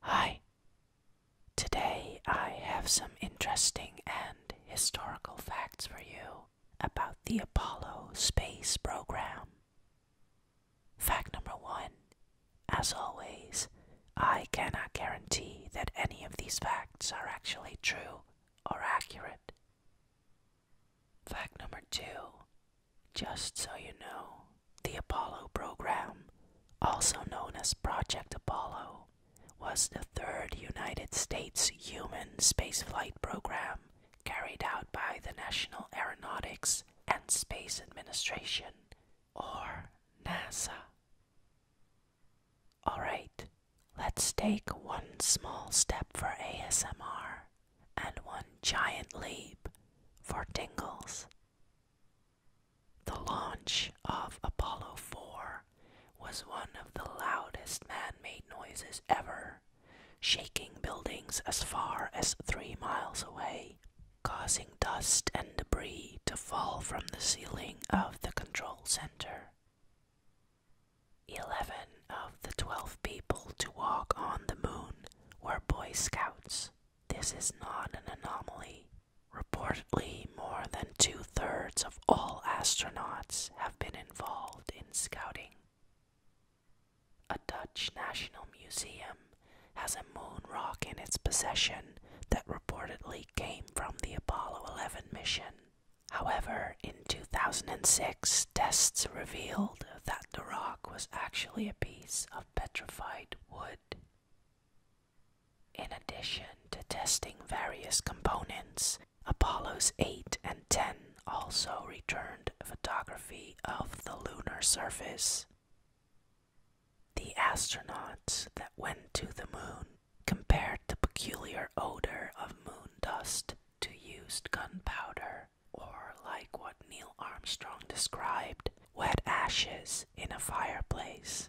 Hi. Today I have some interesting and historical facts for you about the Apollo space program. Fact number one As always, I cannot guarantee that any of these facts are actually true or accurate. Fact number two Just so you know, the Apollo program, also known as Project Apollo, was the third United States human spaceflight program carried out by the National Aeronautics and Space Administration, or NASA. Alright, let's take one small step for ASMR and one giant leap for tingles. The launch of Apollo 4 was one of the loudest man made noises ever, shaking buildings as far as three miles away, causing dust and debris to fall from the ceiling of the control center. Eleven of the twelve people to walk on the moon were Boy Scouts. This is not an anomaly. Reportedly, more than two thirds of all astronauts have been involved in scouting. A Dutch National Museum has a moon rock in its possession that reportedly came from the Apollo 11 mission. However, in 2006, tests revealed that the rock was actually a piece of petrified wood. In addition to testing various components, Apollos 8 and 10 also returned photography of the lunar surface. The astronauts that went to the moon compared the peculiar odor of moon dust to used gunpowder, or like what Neil Armstrong described, wet ashes in a fireplace.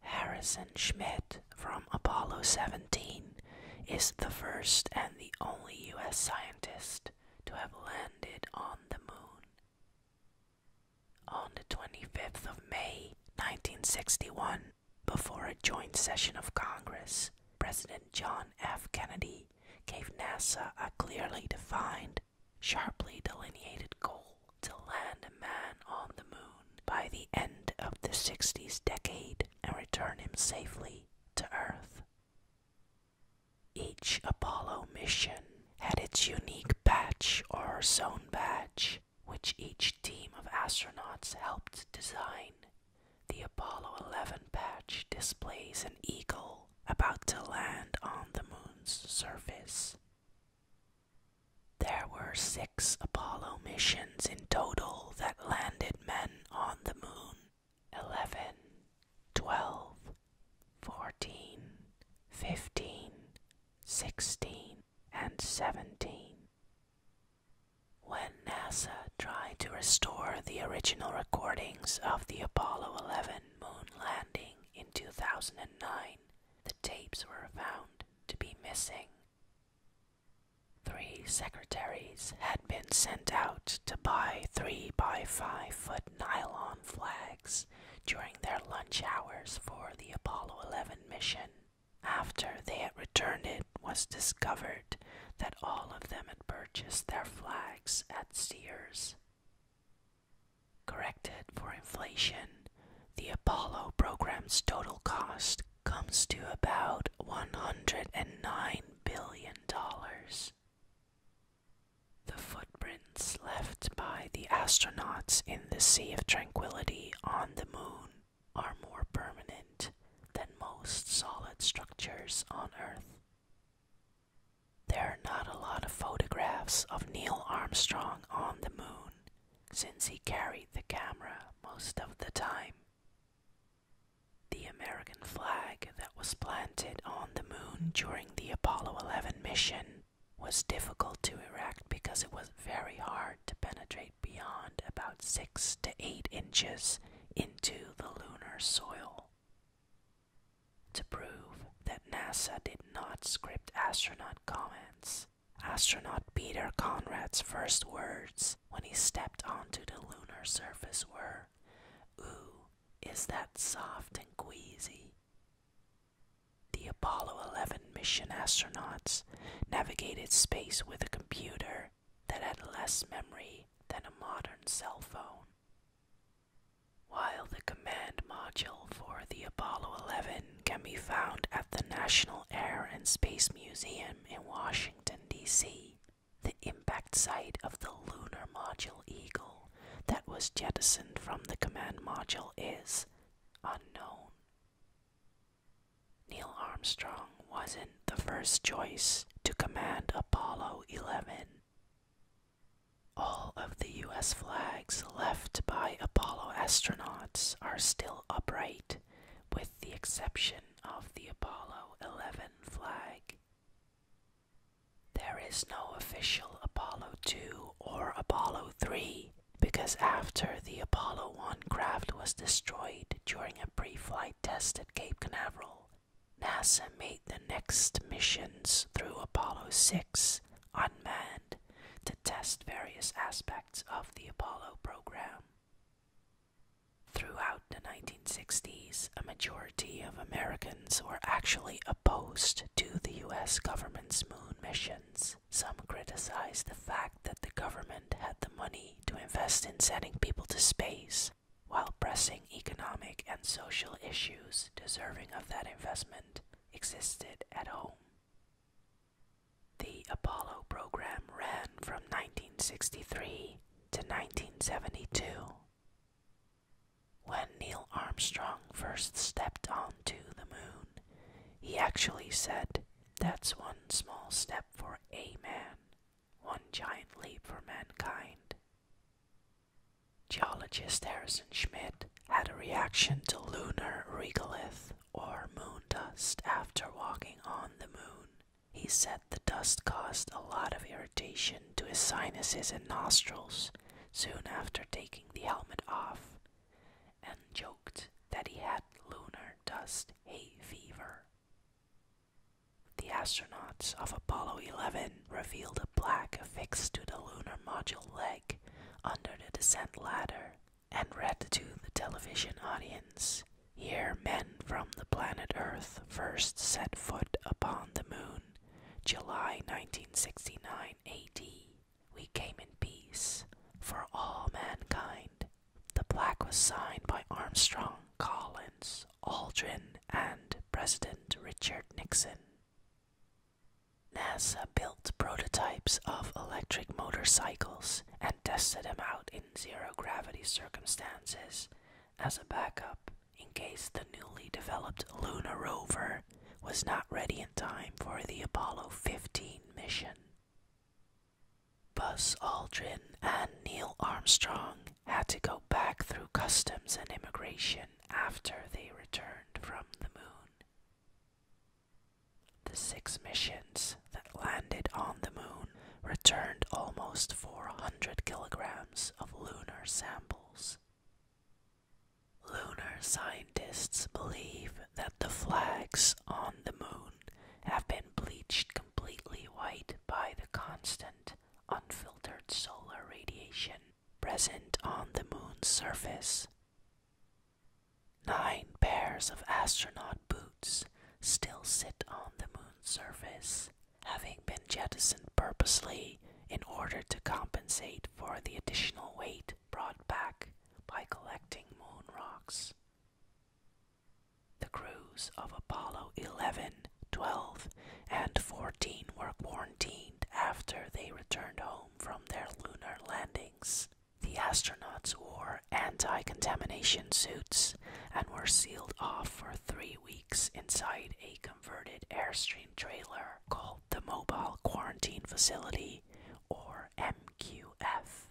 Harrison Schmitt from Apollo 17 is the first and the only U.S. scientist to have landed on the moon. On the 25th of May 1961, before a joint session of Congress, President John F. Kennedy gave NASA a clearly defined sharply delineated goal to land a man on the moon by the end of the 60s decade and return him safely to Earth. Each Apollo mission had its unique patch or zone badge, which each team of astronauts helped design. The Apollo 11 patch displays an eagle about to land on the moon's surface. There were six Apollo missions in total that landed men on the moon 11, 12, 14, 15, 16, and 17. When NASA tried to restore the original recordings of the Apollo 11, moon landing in 2009, the tapes were found to be missing. Three secretaries had been sent out to buy three by five foot nylon flags during their lunch hours for the Apollo 11 mission. After they had returned, it was discovered that all of them had purchased their flags at Sears. Corrected for inflation, the Apollo program's total cost comes to about $109 billion. The footprints left by the astronauts in the Sea of Tranquility on the Moon are more permanent than most solid structures on Earth. There are not a lot of photographs of Neil Armstrong on the moon since he carried the camera most of the time. The American flag that was planted on the moon during the Apollo 11 mission was difficult to erect because it was very hard to penetrate beyond about 6 to 8 inches into the lunar soil to prove that NASA did not script astronaut comments. Astronaut Peter Conrad's first words when he stepped onto the lunar surface were, Ooh, is that soft and queasy? The Apollo 11 mission astronauts navigated space with a computer that had less memory than a modern cell phone. While the command module for the Apollo 11 can be found at the National Air and Space Museum in Washington, D.C., the impact site of the lunar module Eagle that was jettisoned from the command module is unknown. Neil Armstrong wasn't the first choice to command Apollo 11. All of the US flags left by Apollo astronauts are still upright, with the exception of the Apollo 11 flag. There is no official Apollo 2 or Apollo 3 because after the Apollo 1 craft was destroyed during a pre flight test at Cape Canaveral, NASA made the next missions through Apollo 6 unmanned to test various aspects of the Apollo program. Throughout the 1960s, a majority of Americans were actually opposed to the US government's moon missions. Some criticized the fact that the government had the money to invest in sending people to space, while pressing economic and social issues deserving of that investment existed at home. The Apollo program ran from 1963 to 1972. When Neil Armstrong first stepped onto the moon, he actually said, That's one small step for a man, one giant leap for mankind. Geologist Harrison Schmidt had a reaction to lunar regolith or moon dust after walking on the moon. He said the dust caused a lot of irritation to his sinuses and nostrils soon after taking the helmet off and joked that he had lunar dust hay fever. The astronauts of Apollo 11 revealed a plaque affixed to the lunar module leg under the descent ladder and read to the television audience. Here, men from the planet Earth first set foot upon the moon, July 1969 AD. We came in peace for all mankind. The plaque was signed by Armstrong Collins Aldrin, and President Richard Nixon. NASA built prototypes of electric motorcycles and tested them out in zero gravity circumstances as a backup in case the newly developed lunar rover was not ready in time for the Apollo 15 mission. Buzz Aldrin and Neil Armstrong had to go back through customs and immigration after they returned from the moon. The six missions that landed on the moon returned almost 400 kilograms of lunar samples. Lunar scientists believe that the flags on the moon have been bleached completely white by the constant unfiltered solar radiation present on the moon's surface. Nine pairs of astronaut boots still sit on the moon's surface, having been jettisoned purposely in order to compensate for the additional weight brought back by collecting moon rocks. The crews of Apollo 11, 12, and 14 were quarantined after they returned home from their lunar landings. The astronauts wore anti contamination suits and were sealed off for three weeks inside a converted Airstream trailer called the Mobile Quarantine Facility, or MQF.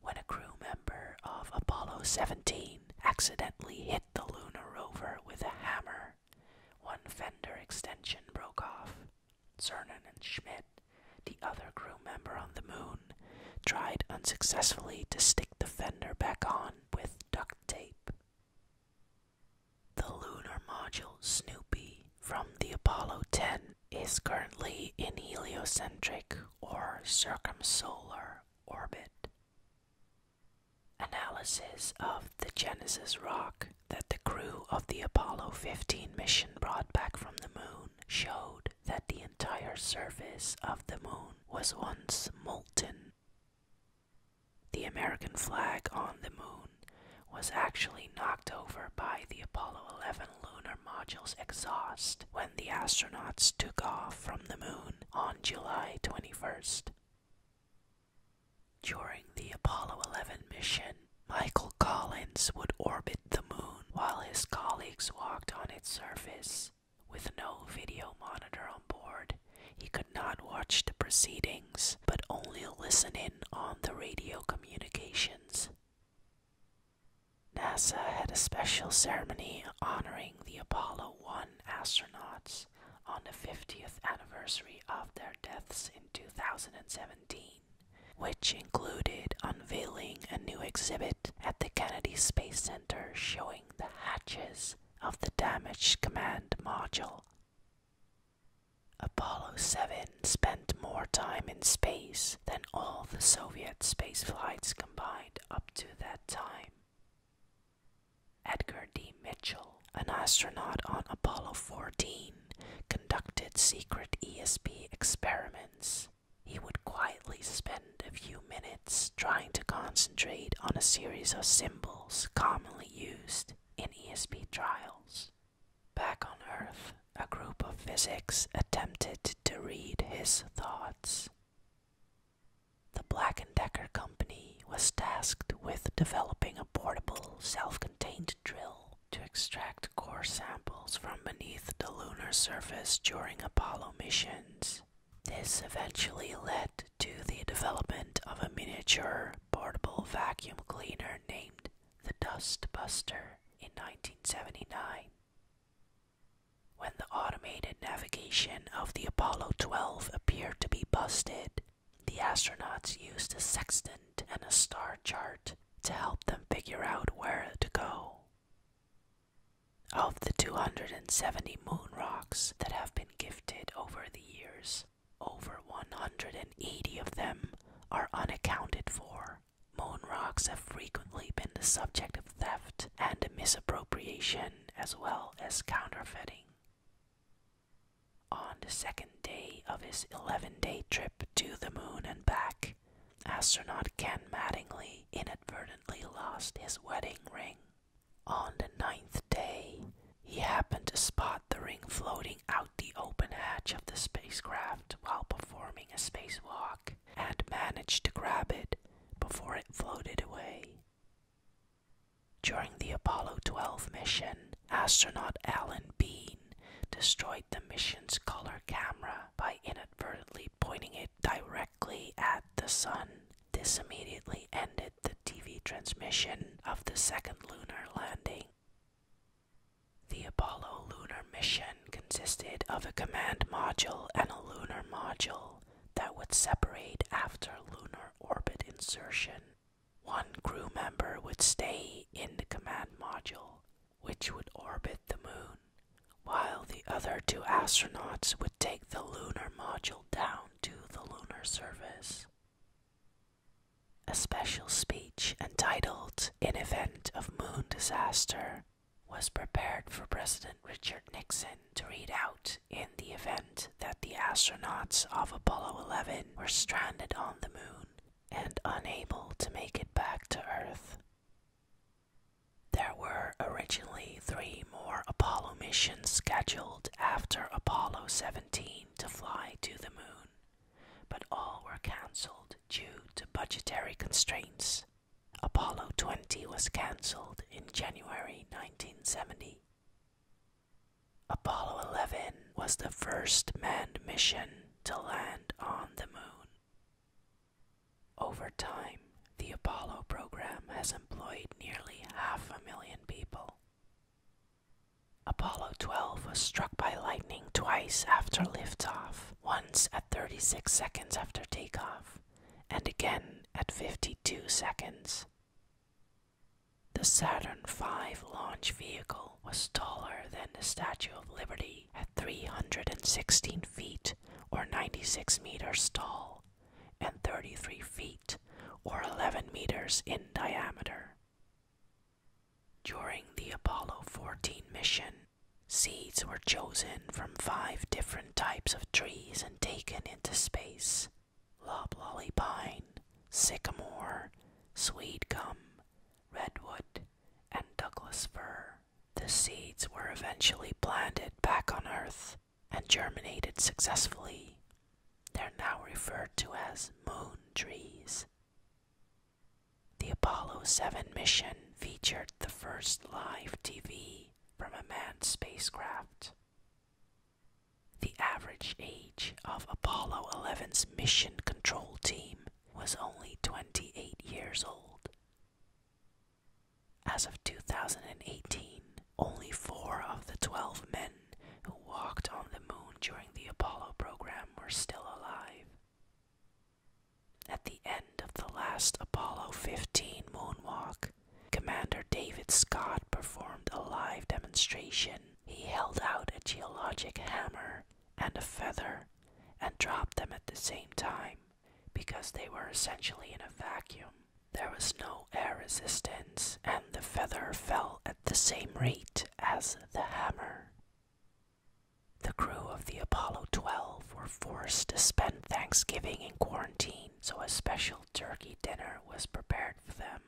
When a crew member of Apollo 17 accidentally hit the lunar rover with a hammer. One fender extension broke off. Cernan and Schmidt, the other crew member on the moon, tried unsuccessfully to stick the fender back on with duct tape. The lunar module Snoopy from the Apollo 10 is currently in heliocentric or circumsolar orbit. Analysis of the Genesis rock that the crew of the Apollo 15 mission brought back from the moon showed that the entire surface of the moon was once molten. The American flag on the moon was actually knocked over by the Apollo 11 lunar module's exhaust the astronauts took off from the moon on July 21st. During the Apollo 11 mission, Michael Collins would orbit the moon while his colleagues walked on its surface. With no video monitor on board, he could not watch the proceedings but only listen in on the radio communications. NASA had a special ceremony honoring the Apollo 1 astronauts on the 50th anniversary of their deaths in 2017, which included unveiling a new exhibit at the Kennedy Space Center showing the hatches of the damaged command module. Apollo 7 spent more time in space than all the Soviet space flights combined up to that time. Edgar D. Mitchell, an astronaut on Apollo 14, conducted secret ESP experiments. He would quietly spend a few minutes trying to concentrate on a series of symbols commonly used in ESP trials. Back on Earth, a group of physics attempted to read his thoughts. The Black & Decker company was tasked with developing a portable, self-contained drill to extract core samples from beneath the lunar surface during Apollo missions. This eventually led to the development of a miniature portable vacuum cleaner named the Dust Buster in 1979. When the automated navigation of the Apollo 12 appeared to be busted, the astronauts used a sextant and a star chart to help them figure out where to go. Of the 270 moon rocks that have been gifted over the years, over 180 of them are unaccounted for. Moon rocks have frequently been the subject theft and misappropriation as well as counterfeiting. On the second day of his 11 day trip to the moon and back, astronaut Ken Mattingly inadvertently lost his wedding ring. On the ninth day, he happened to spot the ring floating out the open hatch of the spacecraft while performing a spacewalk and managed to grab it before it floated away. During the Apollo 12 mission, astronaut Alan Bean destroyed the mission's color camera by inadvertently pointing it directly at the sun. This immediately ended the TV transmission of the second lunar landing. The Apollo lunar mission consisted of a command module and a lunar module that would separate after lunar orbit insertion. One crew member would stay in the command module, which would orbit the moon, while the other two astronauts would take the lunar module down to the lunar surface. A special speech entitled In Event of Moon Disaster was prepared for President Richard Nixon to read out in the event that the astronauts of Apollo 11 were stranded on the moon and unable to make it back to Earth. There were originally three more Apollo missions scheduled after Apollo 17 to fly to the moon, but all were cancelled due to budgetary constraints Apollo 20 was cancelled in January 1970. Apollo 11 was the first manned mission to land on the moon. Over time, the Apollo program has employed nearly half a million people. Apollo 12 was struck by lightning twice after liftoff, once at 36 seconds after takeoff, and again at 52 seconds. The Saturn V launch vehicle was taller than the Statue of Liberty at 316 feet or 96 meters tall and 33 feet or 11 meters in diameter. During the Apollo 14 mission, Seeds were chosen from five different types of trees and taken into space loblolly pine, sycamore, sweet gum, redwood, and Douglas fir. The seeds were eventually planted back on Earth and germinated successfully. They're now referred to as moon trees. The Apollo 7 mission featured the first live TV from a manned spacecraft. The average age of Apollo 11's mission control team was only 28 years old. As of 2018, only four of the 12 men who walked on the moon during the Apollo program were still alive. At the end of the last Apollo 15 moonwalk, Commander David Scott performed a live demonstration. He held out a geologic hammer and a feather and dropped them at the same time because they were essentially in a vacuum. There was no air resistance, and the feather fell at the same rate as the hammer. The crew of the Apollo 12 were forced to spend Thanksgiving in quarantine, so a special turkey dinner was prepared for them.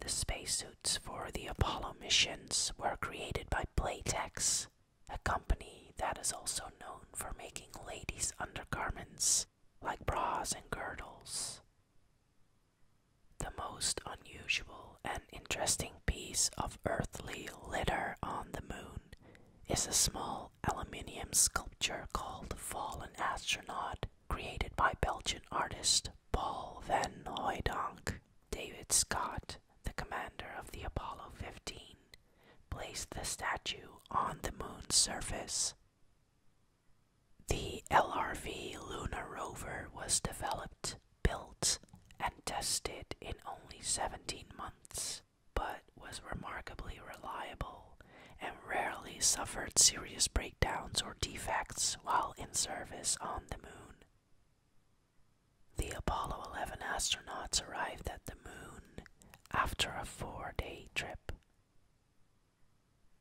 The spacesuits for the Apollo missions were created by Playtex, a company that is also known for making ladies' undergarments like bras and girdles. The most unusual and interesting piece of earthly litter on the moon is a small aluminium sculpture called Fallen Astronaut, created by Belgian artist Paul van Hooydonk. David Scott, the commander of the Apollo 15, placed the statue on the moon's surface. The LRV lunar rover was developed, built, and tested in only 17 months but was remarkably reliable and rarely suffered serious breakdowns or defects while in service on the moon. The Apollo 11 astronauts arrived at the moon after a four day trip.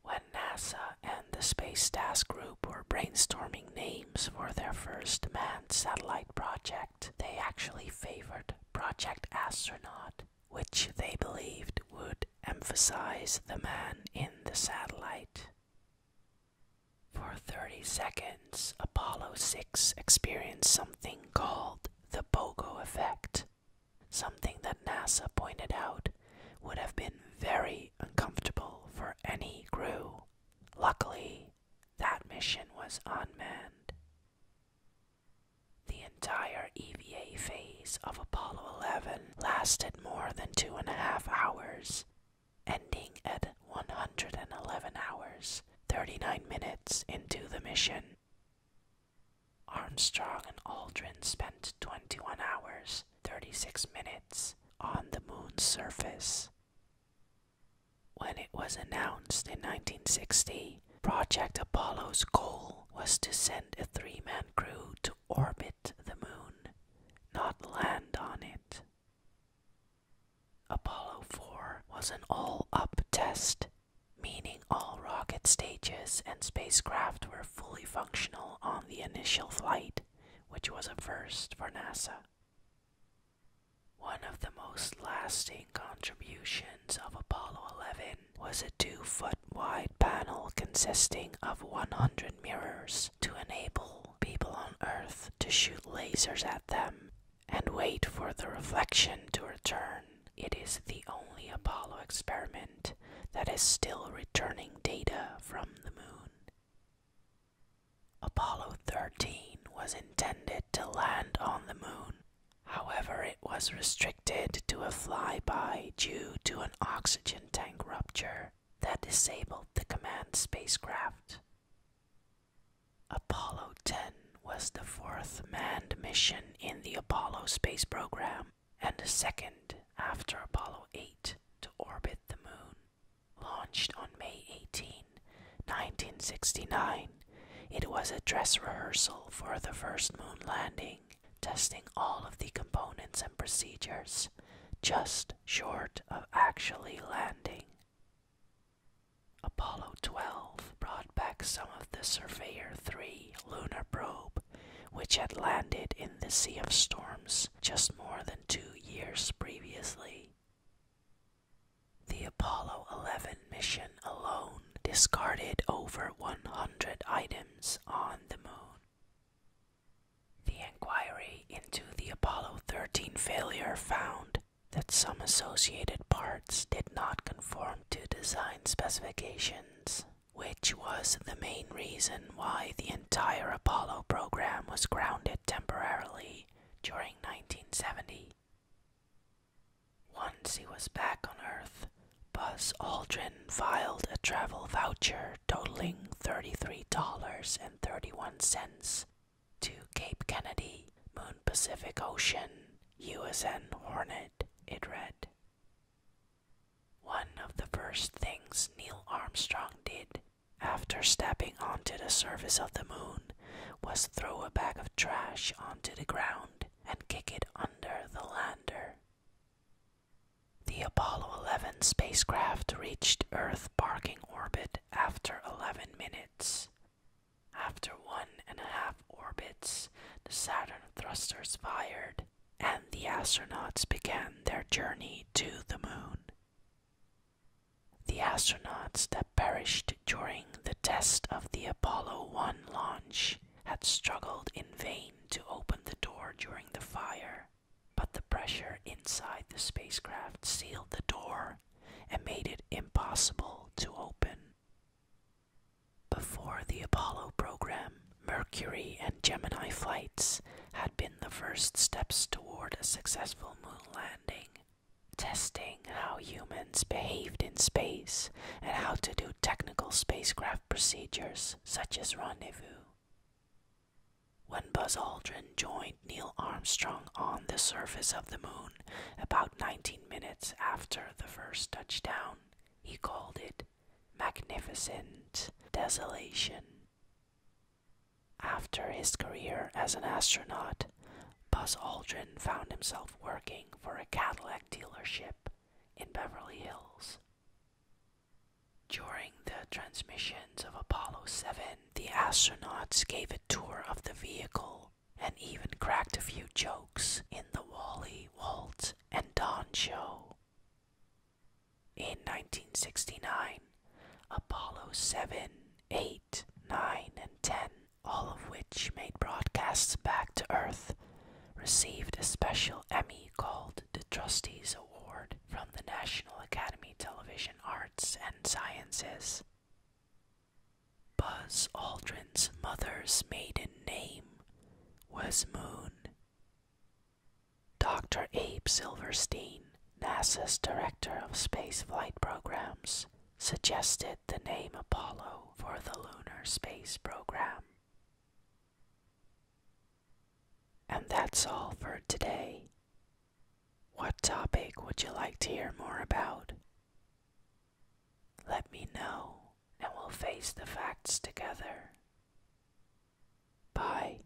When NASA and the Space Task Group were brainstorming names for their first manned satellite project, they actually favored Project Astronaut, which they believed would emphasize the man in the satellite. For 30 seconds, Apollo 6 experienced something called the BOGO effect, something that NASA pointed out would have been very uncomfortable for any crew. Luckily, that mission was unmanned. The entire EVA phase of Apollo 11 lasted more than two and a half hours, ending at 111 hours, 39 minutes into the mission. Armstrong and Aldrin spent 21 hours, 36 minutes on the moon's surface. When it was announced in 1960, Project Apollo's goal was to send a three man crew to orbit the moon, not land on it. Apollo 4 was an all up test, meaning all rocket stages and spacecraft were fully functional on the initial flight, which was a first for NASA. One of the most lasting contributions of Apollo 11 was a two foot wide panel consisting of 100 mirrors to enable people on Earth to shoot lasers at them and wait for the reflection to return. It is the only Apollo experiment that is still returning data from the moon. Apollo 13 was intended to land on the moon. However, it was restricted to a flyby due to an oxygen tank rupture that disabled the command spacecraft. Apollo 10 was the fourth manned mission in the Apollo space program and the second after Apollo 8 to orbit the moon. Launched on May 18, 1969, it was a dress rehearsal for the first moon landing, testing all of the components and procedures, just short of actually landing. Apollo 12 brought back some of the Surveyor 3 lunar probe, which had landed in the Sea of Storms just more than two years previously. The Apollo 11 mission alone discarded over 100 items on the moon. The inquiry into the Apollo 13 failure found that some associated parts did not conform to design specifications, which was the main reason why the entire Apollo program was grounded temporarily during 1970. Once he was back on Earth, Buzz Aldrin filed a travel voucher totaling $33.31 to Cape Kennedy, Moon Pacific Ocean, USN Hornet, it read. One of the first things Neil Armstrong did after stepping onto the surface of the moon was throw a bag of trash onto the ground and kick it under the lander. The Apollo 11 spacecraft reached Earth parking orbit after 11 minutes. After one and a half orbits, the Saturn thrusters fired and the astronauts began their journey to the moon. The astronauts that perished during the test of the Apollo 1 launch had struggled in vain to open the door during the fire, but the pressure inside the spacecraft sealed the door and made it impossible to open. Before the Apollo program, Mercury and Gemini flights had been the first steps toward a successful moon landing, testing how humans behaved in space and how to do technical spacecraft procedures such as rendezvous. When Buzz Aldrin joined Neil Armstrong on the surface of the moon about 19 minutes after the first touchdown, he called it magnificent desolation. After his career as an astronaut, Buzz Aldrin found himself working for a Cadillac dealership in Beverly Hills. During the transmissions of Apollo 7, the astronauts gave a tour of the vehicle and even cracked a few jokes in the Wally, Walt, and Don show. In 1969, Apollo 7, 8, 9, and 10, all of which made broadcasts back to Earth, received a special Emmy called the Trustees Award from the National Academy Television Arts and Sciences. Buzz Aldrin's mother's maiden name was Moon. Dr. Abe Silverstein NASA's director of space flight programs suggested the name Apollo for the lunar space program. And that's all for today. What topic would you like to hear more about? Let me know and we'll face the facts together. Bye.